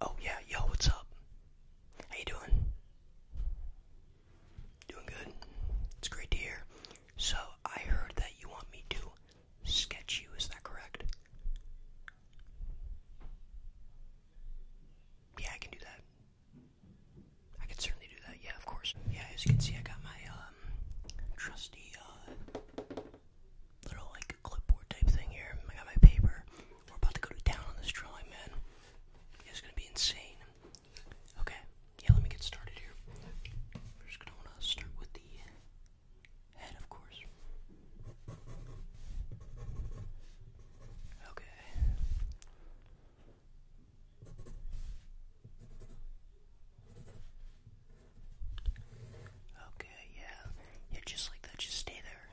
Oh yeah, yo, what's up? How you doing? Doing good. It's great to hear. So I heard that you want me to sketch you, is that correct? Yeah, I can do that. I can certainly do that, yeah, of course. Yeah, as you can see I got my um trusty uh little like clipboard type thing here. I got my paper. We're about to go to town on this drawing, man. It's gonna be insane. Okay, yeah, let me get started here. We're just gonna start with the head, of course. Okay. Okay, yeah. Yeah, just like that. Just stay there.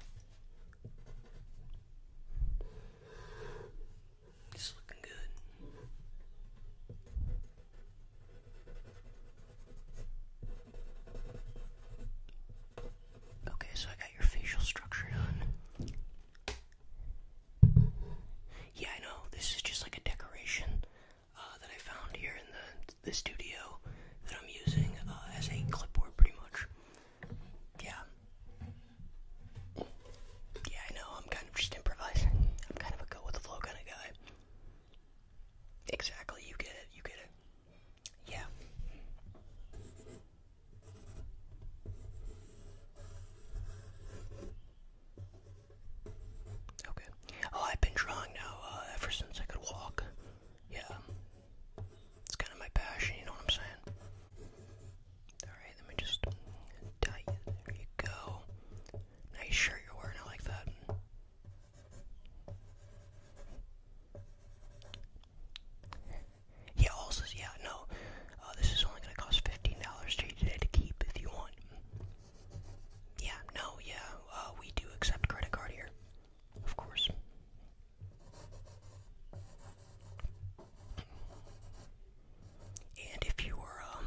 It's looking good. Okay, so I got your facial structure done. Yeah, I know. This is just like a decoration. Uh, that I found here in the the studio that I'm using uh, as a clipboard, pretty much. Yeah. Yeah, I know. I'm kind of just improvising. I'm kind of a go with the flow kind of guy. Exactly. You get it. You get it. Yeah. Okay. Oh, I've been drawing now uh, ever since I could walk. Yeah. It's kind of my passion, you know what I'm saying? Alright, let me just tie you. There you go. Nice shirt you're wearing, I like that. Yeah, also, yeah, no. Uh, this is only going to cost $15 to you today to keep if you want. Yeah, no, yeah, uh, we do accept credit card here, of course. And if you are um,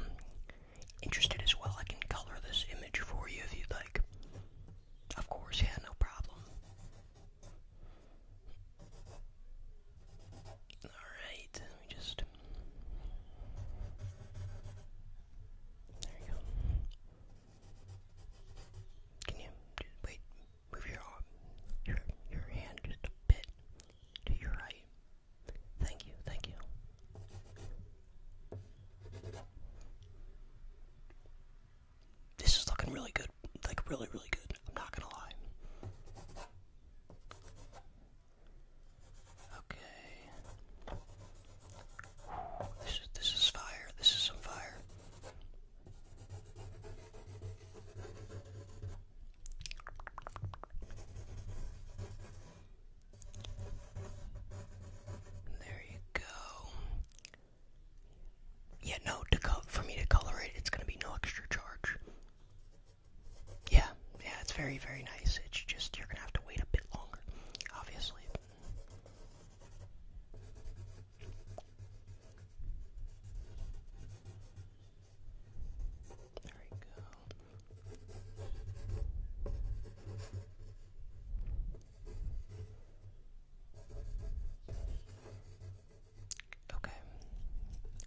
interested as well, I can color this image for you if you'd like. Of course, yeah, no problem. Alright, let me just. There you go. Can you just wait? Move your your your hand just a bit to your right. Thank you, thank you. This is looking really good, like really, really good. I'm not gonna lie. Okay. This is this is fire. This is some fire. There you go. Yeah, no, to for me to color it, it's gonna be no extra charge. Yeah, yeah, it's very, very nice. It's just you're gonna have to wait a bit longer, obviously. There we go. Okay.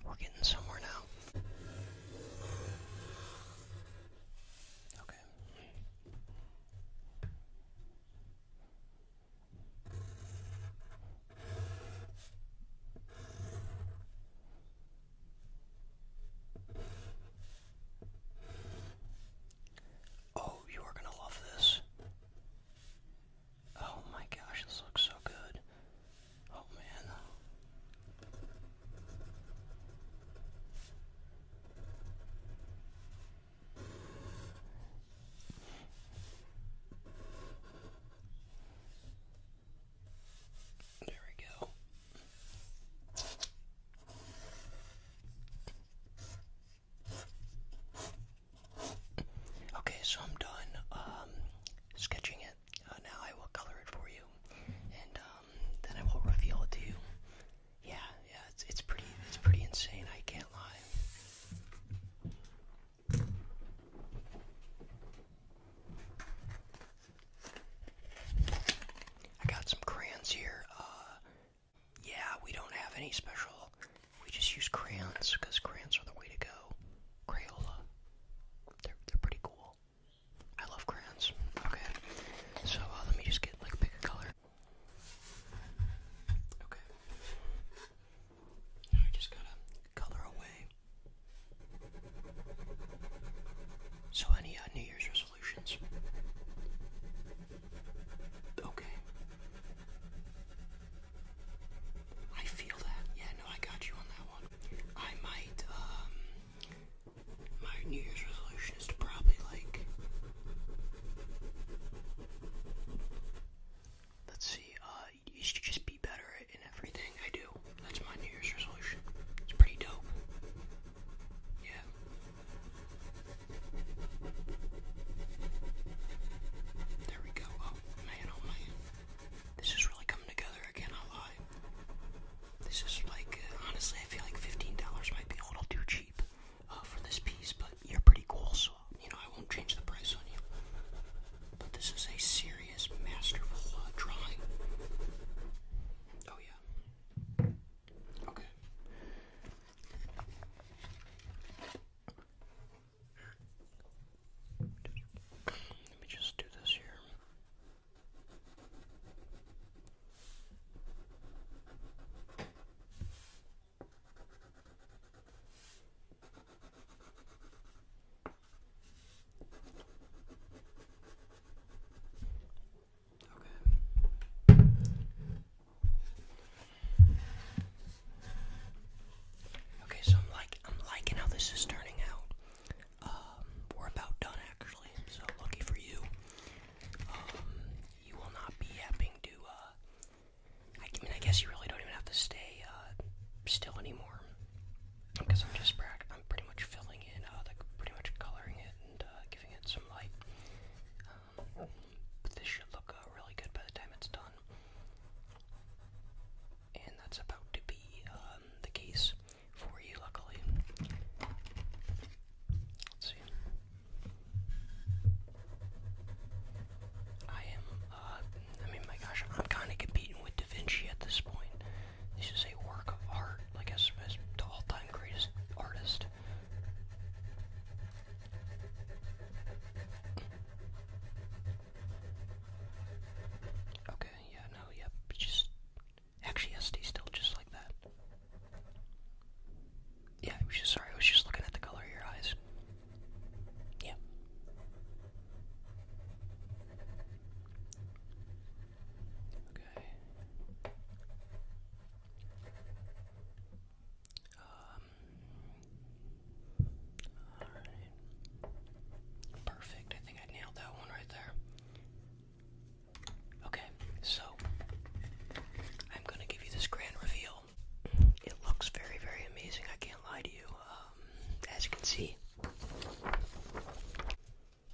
We're getting somewhere now. Okay. Oh, you are going to love this. Oh my gosh, this looks so good. Oh man. There we go. Okay, so I'm done um, sketching it. Uh, now I will color it for you, and um, then I will reveal it to you. Yeah, yeah, it's it's pretty it's pretty insane. I can't lie. I got some crayons here. Uh, yeah, we don't have any special. We just use crayons because crayons are the way to go. Crayola. They're, they're pretty cool. I love crayons. Okay. So uh, let me just get, like, pick a color. Okay. Now I just gotta color away. So, any uh, New Year's resolutions? Okay. I feel that. Yeah, no, I got you on that one. I might, um, my New Year's resolution is to probably like, let's see, uh, you to just be better in everything I do. That's my New Year's resolution. It's pretty dope. Yeah. There we go. Oh man, oh man. This is really coming together again, I lie. This is like, uh, honestly, I feel like $15 might be a little too cheap uh, for this piece, but you're pretty cool, so, you know, I won't change the price on you. But this is a serious, masterful uh, drawing. Oh yeah. Okay. Let me just do this here. Okay. Okay, so I'm like I'm liking how this is turning out. Um, we're about done actually, so lucky for you. Um, you will not be having to. Uh, I mean, I guess you really don't even have to stay uh, still anymore because I'm just I'm pretty much filling in, uh, like pretty much coloring it and uh, giving it some light. but um, this should look uh, really good by the time it's done, and that's about to be um, the case for you, luckily. Let's see. I am. I mean, my gosh, I'm kind of competing with Da Vinci at this point. This is a work of art, like as, as the all-time greatest artist. Okay, yeah, no, yep, just, actually SD still just like that. Yeah, I was just, sorry, I was just looking at the color of your eyes. Yeah. Okay. Um, Perfect. I think I nailed that one right there. Okay, so I'm gonna give you this grand reveal. It looks very, very amazing. I can't lie to you. Um, as you can see,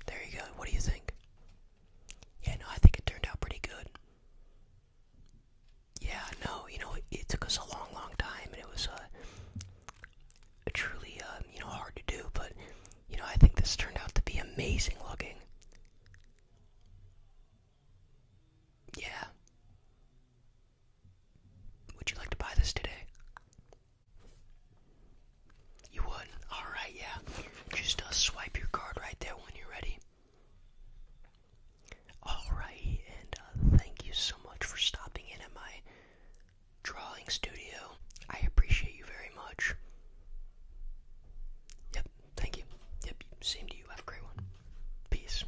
there you go. What do you think? Yeah, no, I think it turned out pretty good. Yeah, no, you know, it, took us a long, long time, and it was uh, truly, um, you know, hard to do. But you know, I think this turned out to be amazing looking. Yeah. Would you like to buy this today? You would? Alright, yeah. Just uh, swipe your card right there when you're ready. Alright, and uh, thank you so much for stopping in at my drawing studio. I appreciate you very much. Yep, thank you. Yep, same to you. Have a great one. Peace.